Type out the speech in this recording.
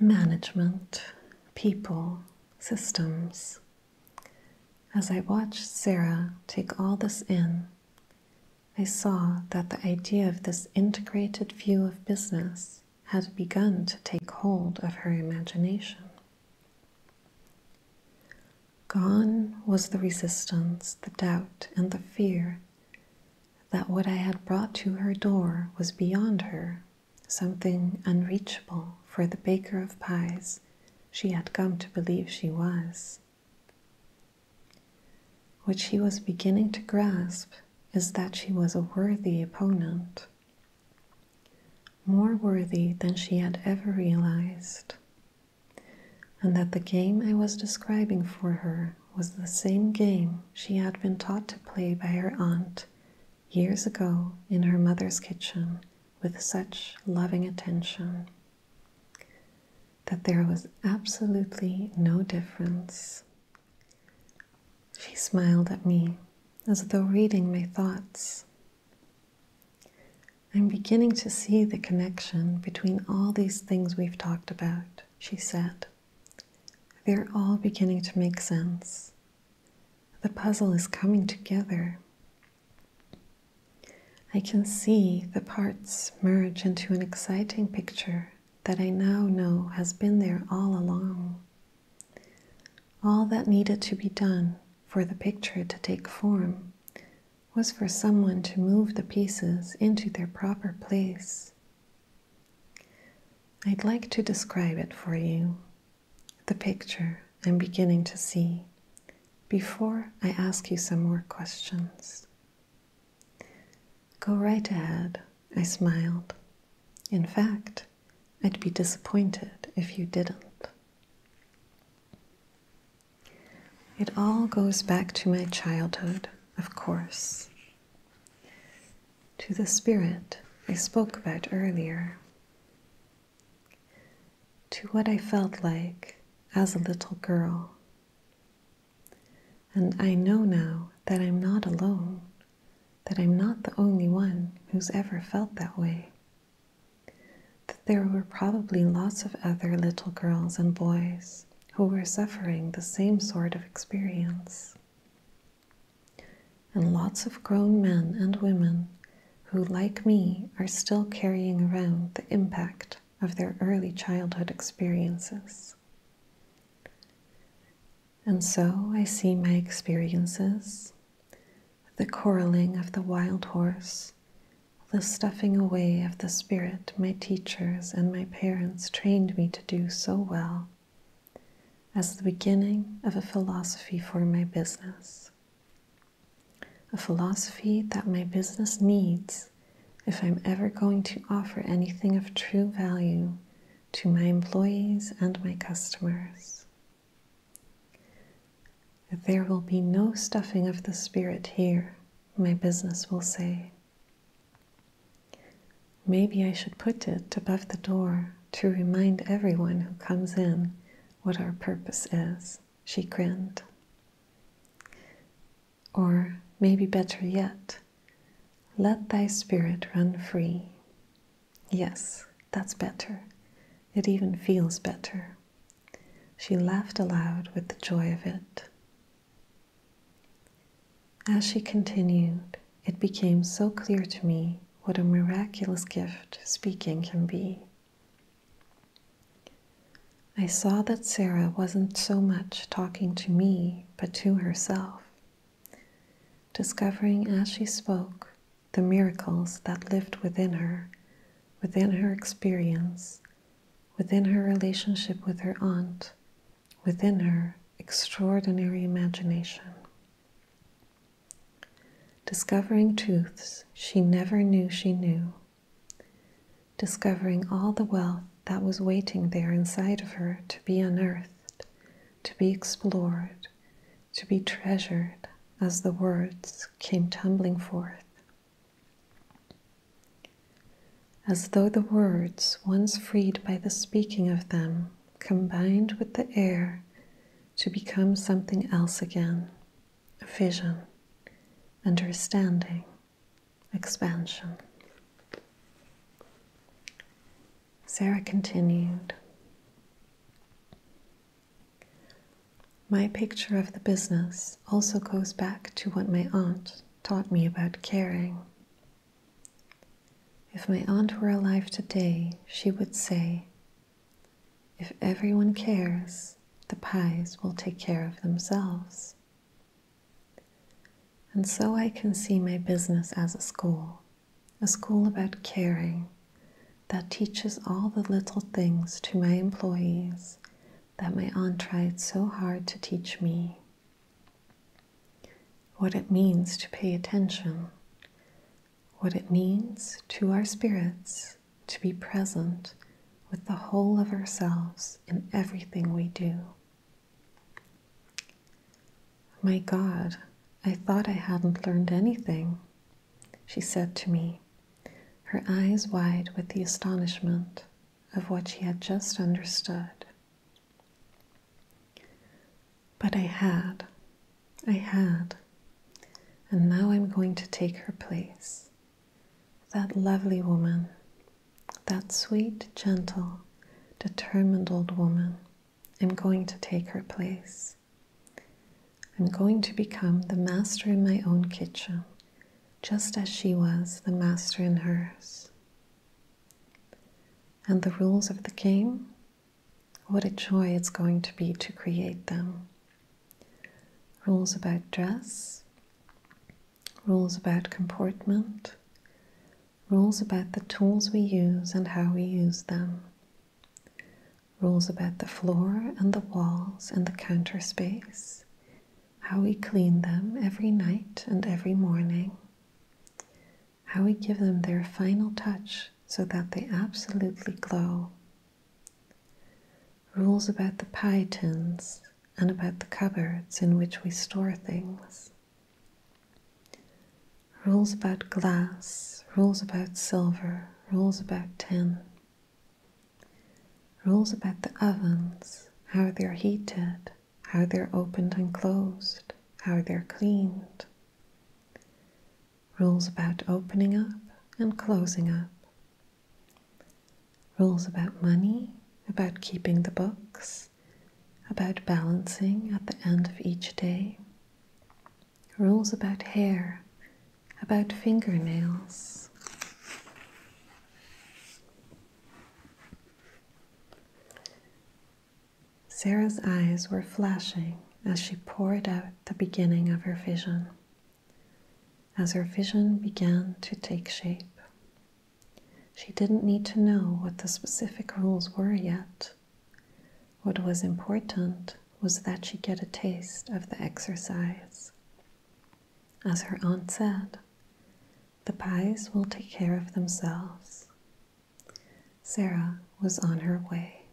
Management, people, systems. As I watched Sarah take all this in, I saw that the idea of this integrated view of business had begun to take hold of her imagination. Gone was the resistance, the doubt, and the fear that what I had brought to her door was beyond her, something unreachable for the baker of pies she had come to believe she was. What she was beginning to grasp is that she was a worthy opponent, more worthy than she had ever realized and that the game I was describing for her was the same game she had been taught to play by her aunt years ago in her mother's kitchen with such loving attention. That there was absolutely no difference. She smiled at me as though reading my thoughts I'm beginning to see the connection between all these things we've talked about, she said. They're all beginning to make sense. The puzzle is coming together. I can see the parts merge into an exciting picture that I now know has been there all along. All that needed to be done for the picture to take form was for someone to move the pieces into their proper place. I'd like to describe it for you, the picture I'm beginning to see, before I ask you some more questions. Go right ahead, I smiled. In fact, I'd be disappointed if you didn't. It all goes back to my childhood, of course, to the spirit I spoke about earlier, to what I felt like as a little girl. And I know now that I'm not alone, that I'm not the only one who's ever felt that way that there were probably lots of other little girls and boys who were suffering the same sort of experience, and lots of grown men and women who, like me, are still carrying around the impact of their early childhood experiences. And so I see my experiences the quarreling of the wild horse, the stuffing away of the spirit my teachers and my parents trained me to do so well, as the beginning of a philosophy for my business. A philosophy that my business needs if I'm ever going to offer anything of true value to my employees and my customers. There will be no stuffing of the spirit here, my business will say. Maybe I should put it above the door to remind everyone who comes in what our purpose is, she grinned. Or maybe better yet, let thy spirit run free, Yes, that's better. It even feels better. She laughed aloud with the joy of it. As she continued, it became so clear to me what a miraculous gift speaking can be. I saw that Sarah wasn't so much talking to me, but to herself discovering as she spoke the miracles that lived within her, within her experience, within her relationship with her aunt, within her extraordinary imagination. Discovering truths she never knew she knew, discovering all the wealth that was waiting there inside of her to be unearthed to be explored, to be treasured as the words came tumbling forth. As though the words, once freed by the speaking of them, combined with the air to become something else again a vision, understanding, expansion. Sarah continued. My picture of the business also goes back to what my aunt taught me about caring. If my aunt were alive today, she would say, If everyone cares, the pies will take care of themselves. And so I can see my business as a school, a school about caring that teaches all the little things to my employees that my aunt tried so hard to teach me. What it means to pay attention, what it means to our spirits to be present with the whole of ourselves in everything we do. My God, I thought I hadn't learned anything, she said to me, her eyes wide with the astonishment of what she had just understood. But I had, I had, and now I'm going to take her place. That lovely woman that sweet, gentle, determined old woman, I'm going to take her place. I'm going to become the master in my own kitchen, just as she was the master in hers. And the rules of the game? What a joy it's going to be to create them. Rules about dress, rules about comportment, rules about the tools we use and how we use them, rules about the floor and the walls and the counter space, how we clean them every night and every morning, how we give them their final touch so that they absolutely glow. Rules about the pie tins and about the cupboards in which we store things. Rules about glass, rules about silver, rules about tin. Rules about the ovens, how they're heated, how they're opened and closed, how they're cleaned. Rules about opening up and closing up, rules about money, about keeping the books, about balancing at the end of each day, rules about hair, about fingernails. Sarah's eyes were flashing as she poured out the beginning of her vision. As her vision began to take shape, she didn't need to know what the specific rules were yet. What was important was that she get a taste of the exercise. As her aunt said, the pies will take care of themselves. Sarah was on her way.